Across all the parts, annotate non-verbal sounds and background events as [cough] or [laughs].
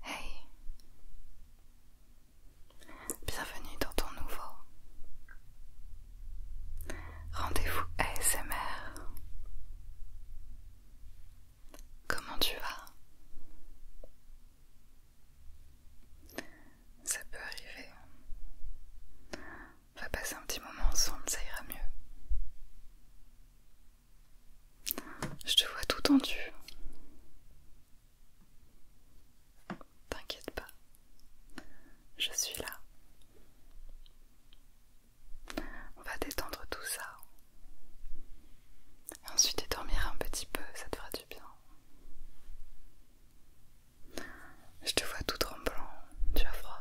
Hey Bienvenue dans ton nouveau rendez-vous ASMR. Comment tu vas Ça peut arriver. On va passer un petit moment ensemble, ça ira mieux. Je te vois tout tendu. T'inquiète pas, je suis là. On va détendre tout ça. Et ensuite, tu dormiras un petit peu, ça te fera du bien. Je te vois tout tremblant, tu as froid.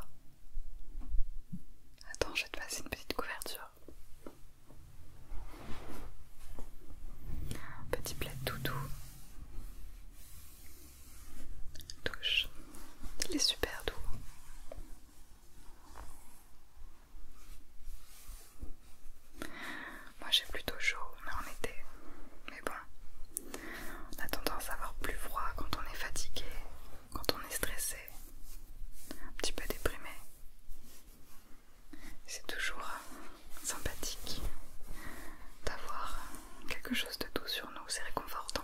Attends, je vais te passer une petite couverture. Petit plat tout doux. Touche. Il est super doux. Moi j'ai plutôt chaud, mais en été. Mais bon, on a tendance à avoir plus froid quand on est fatigué, quand on est stressé un petit peu déprimé, C'est toujours sympathique d'avoir quelque chose de doux sur nous, c'est réconfortant.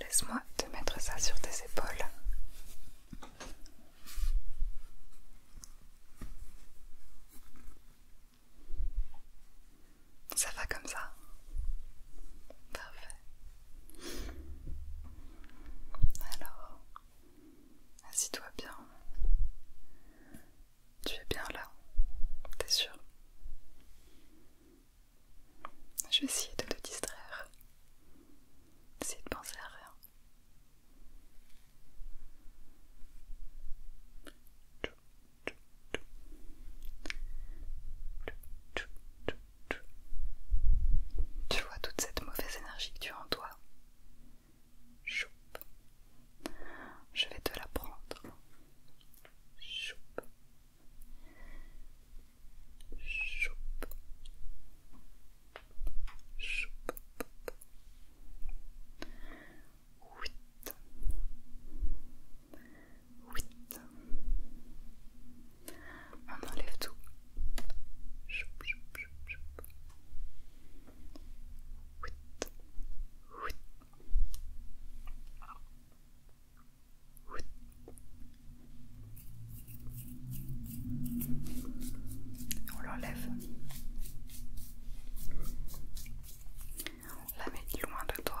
Laisse-moi te mettre ça sur tes épaules. Ça va comme ça Parfait. Alors, assis-toi bien. Tu es bien là, t'es sûr Je vais essayer de te distraire. Essayer de penser à rien. Tu vois toute cette mauvaise énergie que tu as en toi? Choupe. Je vais te la prendre. Choupe. Choupe. Choupe. On enlève tout. On l'enlève. On la met loin de toi.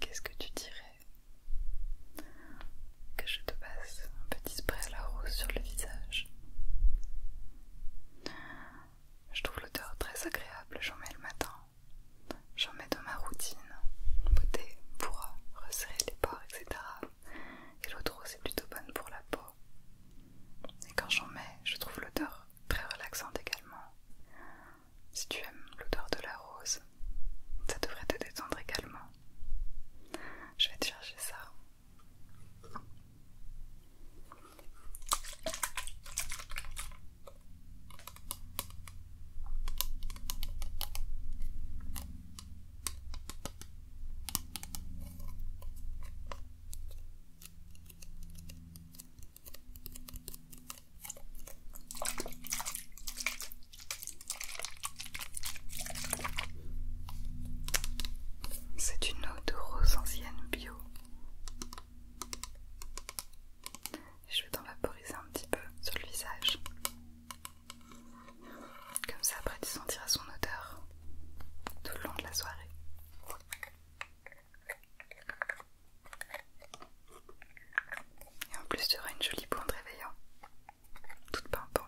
Qu'est-ce que tu dirais que je te passe un petit spray à la rose sur le visage Je trouve l'odeur très agréable, j'en mets le matin, j'en mets dans ma routine, beauté pour resserrer les pores, etc. Et l'autre rose est plutôt bonne pour la peau. Et quand j'en mets, je trouve l'odeur très relaxante également si tu aimes l'odeur de la rose, ça devrait te détendre également. Je vais te chercher ça. C'est une eau de rose ancienne bio. Je vais t'en vaporiser un petit peu sur le visage. Comme ça, après tu sentiras son odeur tout le long de la soirée. Et en plus, tu auras une jolie pointe réveillante, toute pimpante.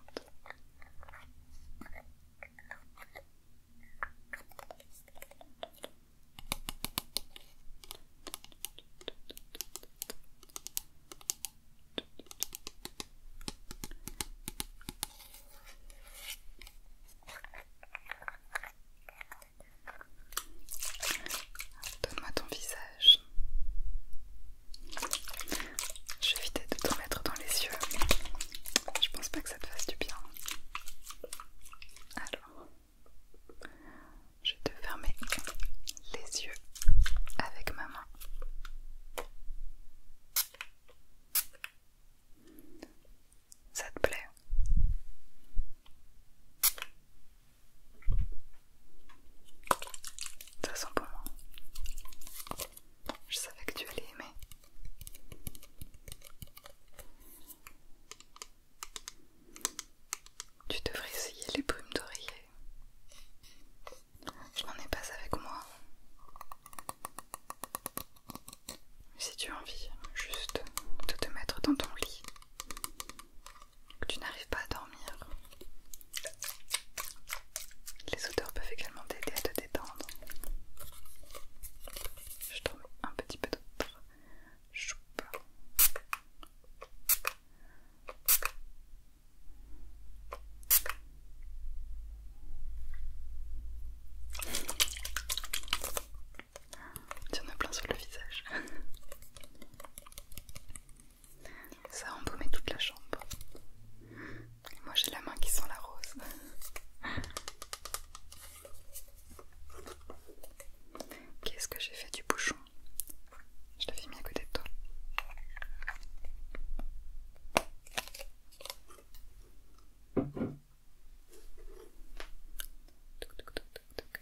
Donne-moi ton visage. Je vais éviter de te mettre dans les yeux. Je pense pas que ça te fasse du bien. Alors, je vais te fermer les yeux avec ma main. Ça te plaît Ça sent bon. Hein. Je savais que tu allais aimer. Tu devrais essayer les brumes d'oreiller. Je n'en ai pas avec moi. Si tu as envie juste de te mettre dans ton lit que tu n'arrives pas à dormir. Les odeurs peuvent également t'aider à te détendre. Je trouve un petit peu d'autre. Il y a plein sur le visage. Ça a embaumé toute la chambre. moi j'ai la main qui sent la rose. Qu'est-ce que j'ai fait du bouchon Je l'avais mis à côté de toi.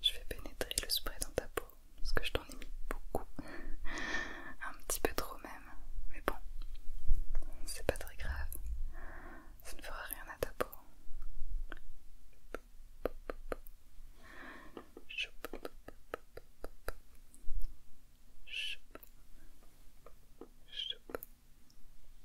Je vais pénétrer le spray dans ta peau parce que je t'en ai mis beaucoup, [laughs] un petit peu trop même, mais bon, c'est pas très grave, ça ne fera rien à ta peau.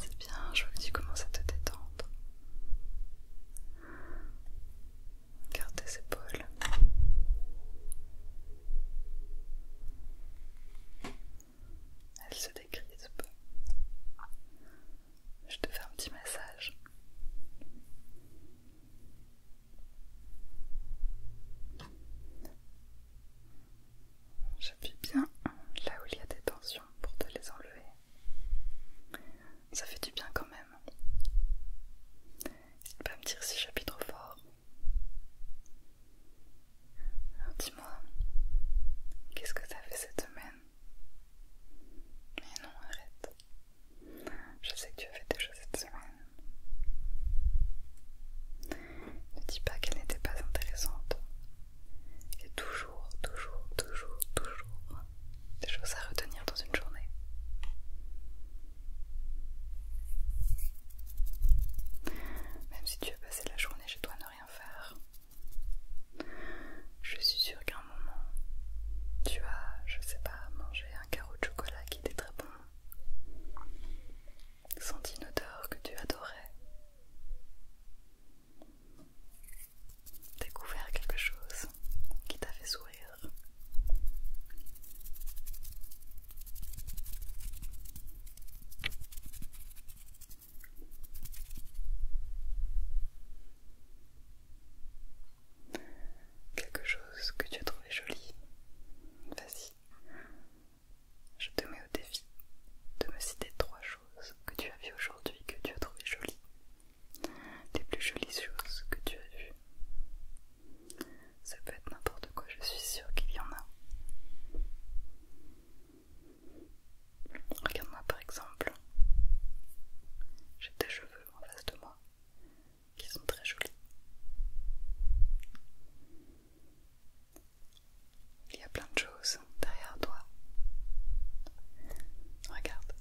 C'est bien, je vois que tu commences à te détendre. Garde tes épaules. Elle se un peu. Je te fais un petit massage. J'appuie bien là où il y a des tensions pour te les enlever. Ça fait du bien quand même. N'hésite pas me dire si j'appuie trop fort. Alors dis-moi, qu'est-ce que as fait cette semaine Mais non, arrête. Je sais que tu as fait des choses cette semaine. Ne dis pas qu'elle n'était pas intéressante. Il y a toujours, toujours, toujours, toujours des choses à retenir dans une journée. Même si tu as passé la journée chez toi faire. Je suis sûre qu'à un moment, tu as, je sais pas, mangé un carreau de chocolat qui était très bon, senti une odeur que tu adorais, découvert quelque chose qui t'a fait sourire. Quelque chose que tu as trouvé joli. Vas-y. Je te mets au défi de me citer trois choses que tu as vues aujourd'hui que tu as trouvé jolies. Les plus jolies choses que tu as vues. Ça peut être n'importe quoi, je suis sûre qu'il y en a. Regarde-moi par exemple. J'ai des cheveux en face de moi qui sont très jolis. Il y a plein de choses derrière toi. Regarde.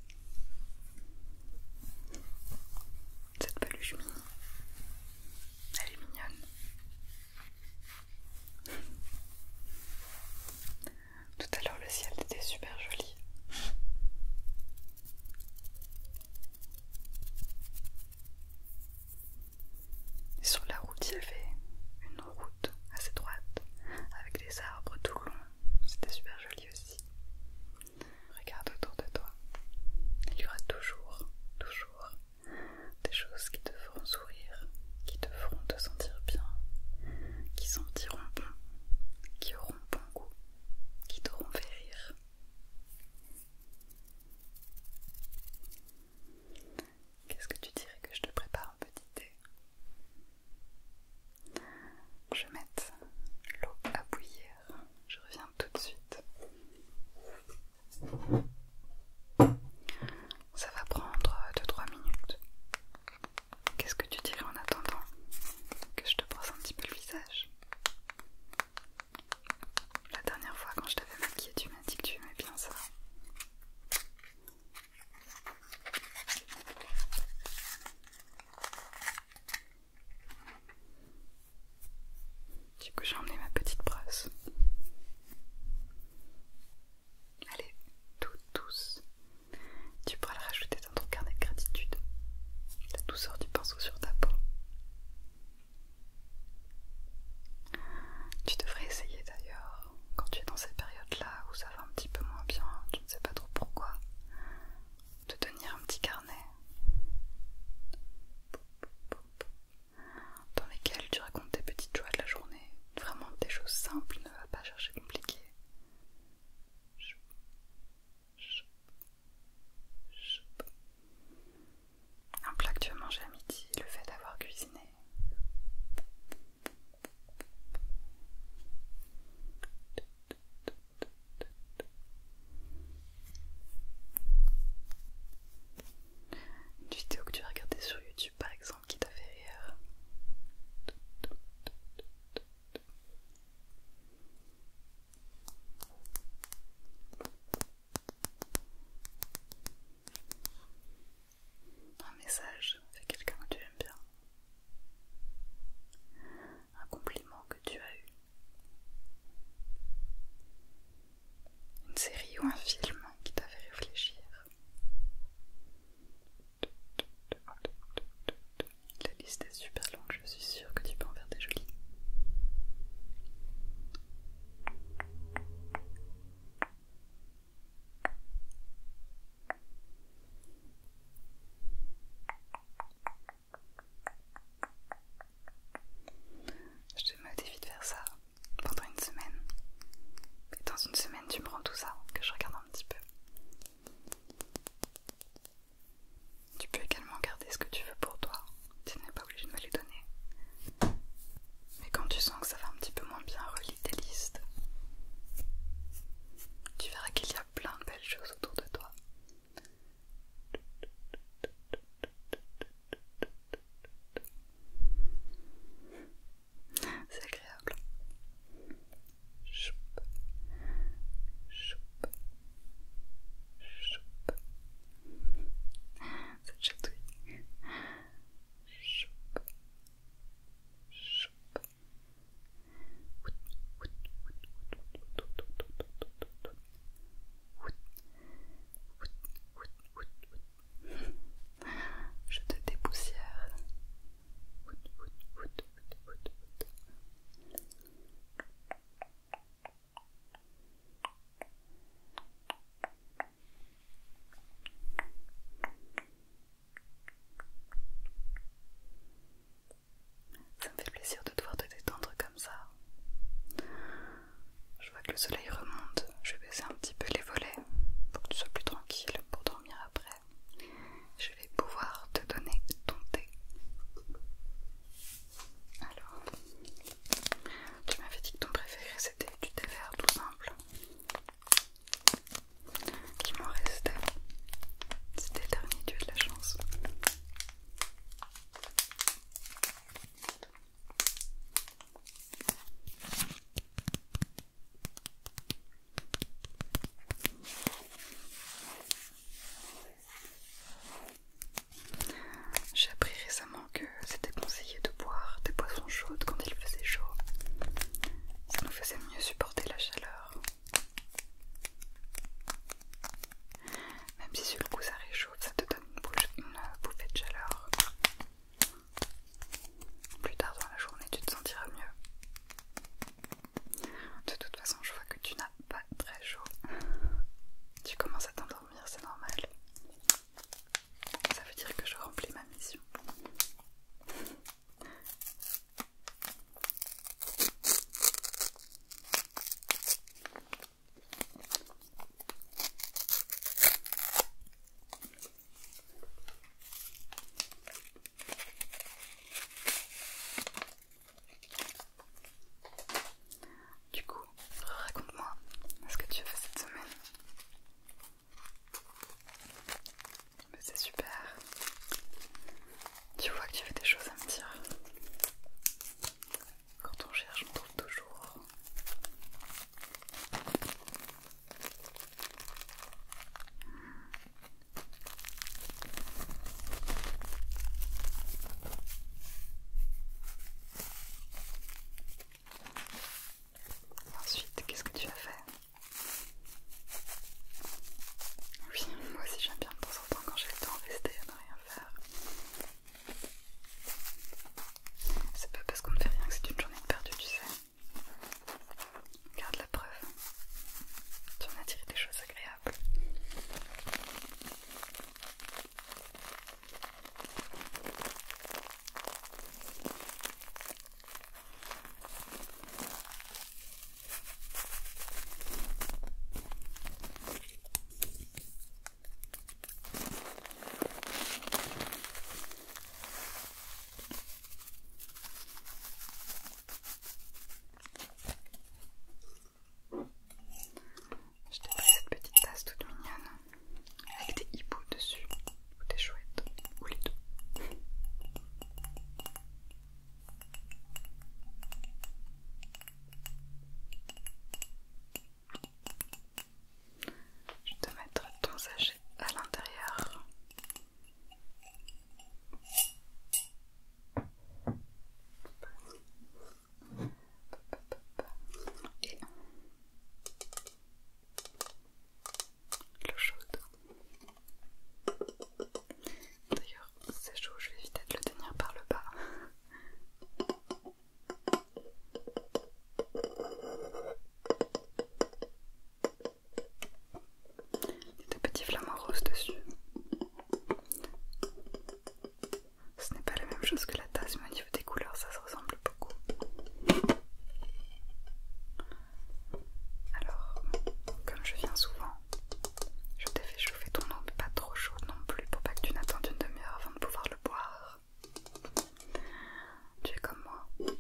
Cette peluche mini. Elle est mignonne. Tout à l'heure, le ciel était super joli. Et sur la route, il y avait une route assez droite avec des arbres tout le long. C'était super joli aussi. Regarde autour de toi. Il y aura toujours, toujours des choses qui te feront sourire, qui te feront te sentir bien, qui sentiront bon, qui auront bon goût, qui t'auront fait rire. Qu'est-ce que tu dirais que je te prépare un petit thé Je mette l'eau à bouillir, je reviens tout de suite. Ça va prendre 2-3 minutes. Qu'est-ce que tu dirais en attendant que je te brosse un petit peu le visage La dernière fois quand je t'avais maquillée, tu m'as dit que tu aimais bien ça. Du coup, j'ai emmené ma petite brosse. Allez, est toute Tu pourras la rajouter dans ton carnet de gratitude. La douceur du pinceau sur ta peau. Tu devrais essayer d'ailleurs, quand tu es dans cette période là où ça va un petit peu moins bien, tu ne sais pas trop pourquoi, de tenir un petit carnet dans lesquelles tu racontes tes petites joies de la journée, vraiment des choses simples, ne va pas chercher compliqué. Un plat que tu as mangé à midi, le fait d'avoir cuisiné. Une vidéo que tu as regardée sur YouTube par exemple qui t'a fait rire. Un message de quelqu'un que tu aimes bien. Un compliment que tu as eu une série ou un film qui t'a fait réfléchir. La liste est super longue, je suis sûre que tu peux en faire des jolies. Je te modifie de faire ça pendant une semaine. Et dans une semaine, tu me rends tout ça, que je regarde un petit peu. Tu peux également garder ce que tu veux pour toi, tu n'es pas obligé de me le donner. Mais quand tu sens que ça va un petit peu moins bien, relis tes listes. Tu verras qu'il y a plein de belles choses autour de toi. C'est agréable. Choupe, chatouille. Je te dépoussière. Ça me fait plaisir de te voir te détendre comme ça. Je vois que le soleil remonte. Je vais baisser un petit peu les volets pour que tu sois plus tranquille pour dormir après. Je vais pouvoir te donner ton thé. Alors, tu m'avais dit que ton préféré c'était du thé vert tout simple. Qui m'en restait. C'était le dernier, tu de la chance. J'ai appris récemment que c'était conseillé de boire des boissons chaudes quand il faisait chaud. Ça nous faisait mieux supporter la chaleur. Même si sur le coup ça réchauffe, ça te donne une bouffée de chaleur. Plus tard dans la journée, tu te sentiras mieux. De toute façon, je vois que tu n'as pas très chaud. Tu commences à t'endormir, c'est normal. Ça veut dire que je remplis ma mission. Du coup, raconte-moi ce que tu as fait cette semaine. C'est super. Tu vois que tu fais des choses à me dire. Quand on cherche, on trouve toujours. Ensuite, qu'est-ce que tu as fait Oui, moi aussi j'aime bien de temps en temps quand j'ai le temps rester à ne rien faire. C'est pas parce qu'on ne fait rien que c'est une journée perdue, tu sais. Regarde la preuve. Tu a tiré des choses agréables. Je t'ai cette petite tasse toute mignonne avec des hiboux dessus, ou des chouettes, ou les deux. Je vais te mettre ton sachet à l'intérieur. Et l'eau chaude. D'ailleurs, c'est chaud, je vais éviter de le tenir par le bas. Il y a des petits flamants roses dessus. Ce n'est pas la même chose que la tasse, mais au niveau des couleurs, ça se ressemble beaucoup. Alors, comme je viens souvent, je t'ai fait chauffer ton eau, mais pas trop chaude non plus, pour pas que tu n'attendes une demi-heure avant de pouvoir le boire. Tu es comme moi.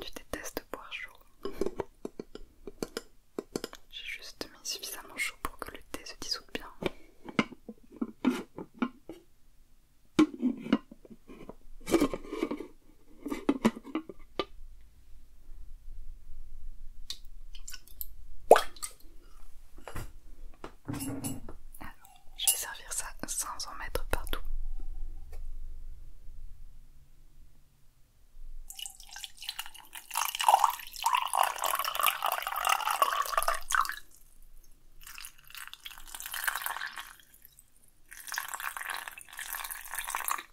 Tu détestes boire chaud. J'ai juste mis suffisamment chaud pour que le thé se dissoute bien. Je vais servir ça sans en mettre partout.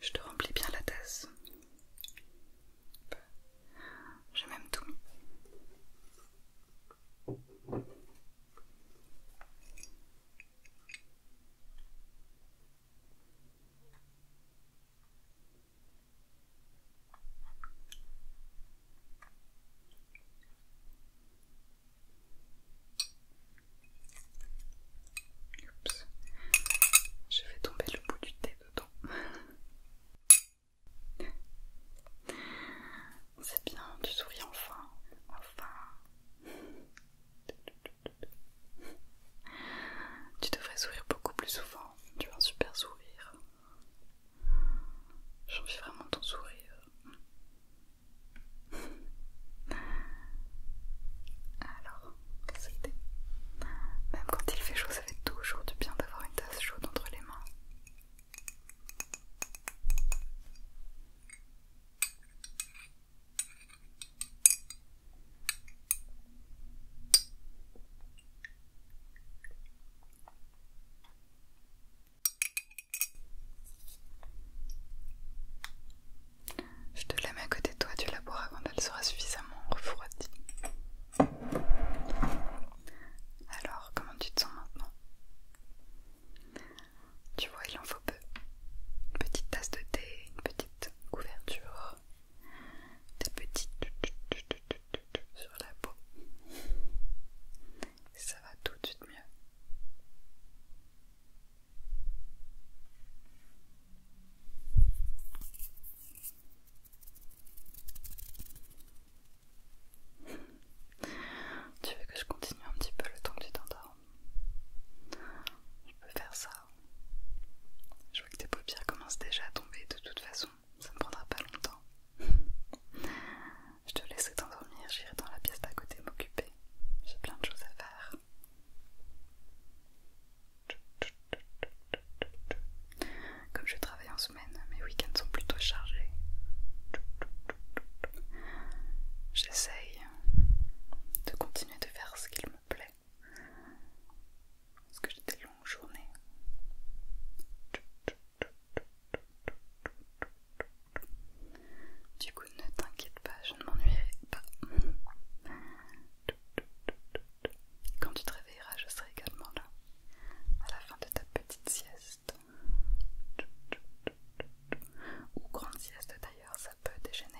Je te remplis bien la tasse. Je m'aime tout je vais tomber le bout du thé dedans. C'est bien, tu souris enfin. Enfin. tu devrais sourire beaucoup plus souvent. Tu as un super sourire. J'envie vraiment ton sourire. Alors, c'était. Même quand il fait chaud, ça fait toujours du bien d'avoir une tasse chaude entre les mains. Je te la mets à côté de toi, tu la avant quand elle sera suffisamment refroidie. Alors, comment tu te sens maintenant tu vois, il en faut peu. Une petite tasse de thé, une petite couverture, des petites sur la peau. ça va tout de suite mieux. Tu veux que je continue un petit peu le temps que tu t'endormes Je peux faire ça. Je vois que tes paupières commencent déjà à tomber de toute façon. Ça ne prendra pas longtemps. je te laisserai t'endormir, j'irai dans la pièce d'à côté m'occuper. J'ai plein de choses à faire. Comme je travaille en semaine, mes week-ends sont plutôt chargés. J'essaye de continuer de faire ce qu'il me plaît. Parce que j'ai des longues journées. Du coup, ne t'inquiète pas, je ne m'ennuierai pas. Quand tu te réveilleras, je serai également là à la fin de ta petite sieste ou grande sieste d'ailleurs, ça peut dégénérer.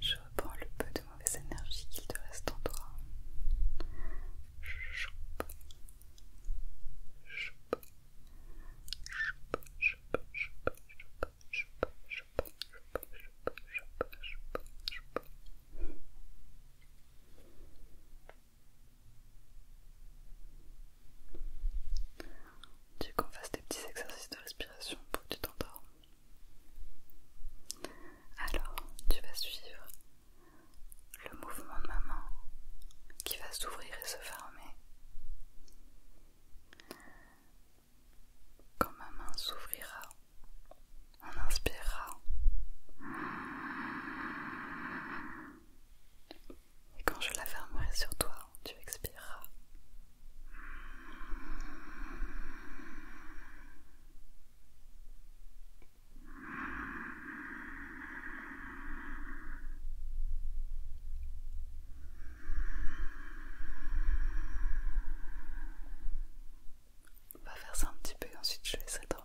Je reprends le peu de mauvaise énergie qu'il te reste en toi. Tu veux qu'on fasse des petits exercices de respiration pour que tu t'endormes. Alors, tu vas suivre le mouvement de ma main qui va s'ouvrir et se fermer. Quand ma main s'ouvrira, on inspirera. Et quand je la fermerai sur toi, tu expireras. On va faire ça un petit peu ensuite je laisserai dormir.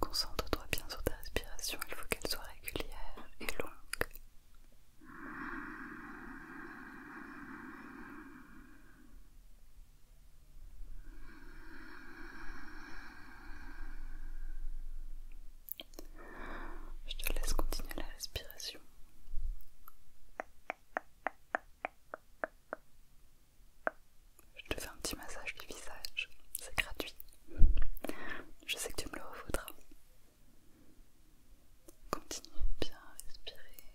Concentre-toi bien sur ta respiration, il faut qu'elle soit régulière et longue. Je te laisse continuer la respiration. Je te fais un petit massage du visage, c'est gratuit. Je sais que tu me le revaudras. Continue bien à respirer.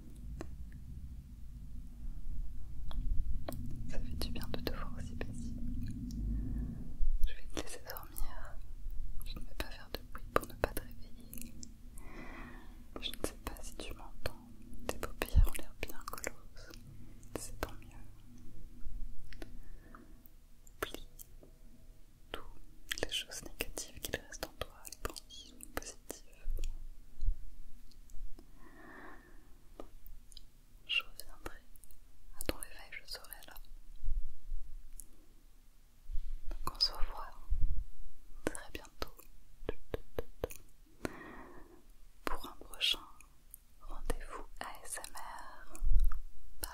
Ça fait du bien de te voir aussi paisible. Je vais te laisser dormir. Je ne vais pas faire de bruit pour ne pas te réveiller. Je ne sais pas si tu m'entends. Tes paupières ont l'air bien closes. C'est tant mieux. Oublie toutes les choses négatives qu'il reste en toi, je reviendrai à ton réveil, je serai là. Donc on se revoit très bientôt pour un prochain rendez-vous ASMR. Bye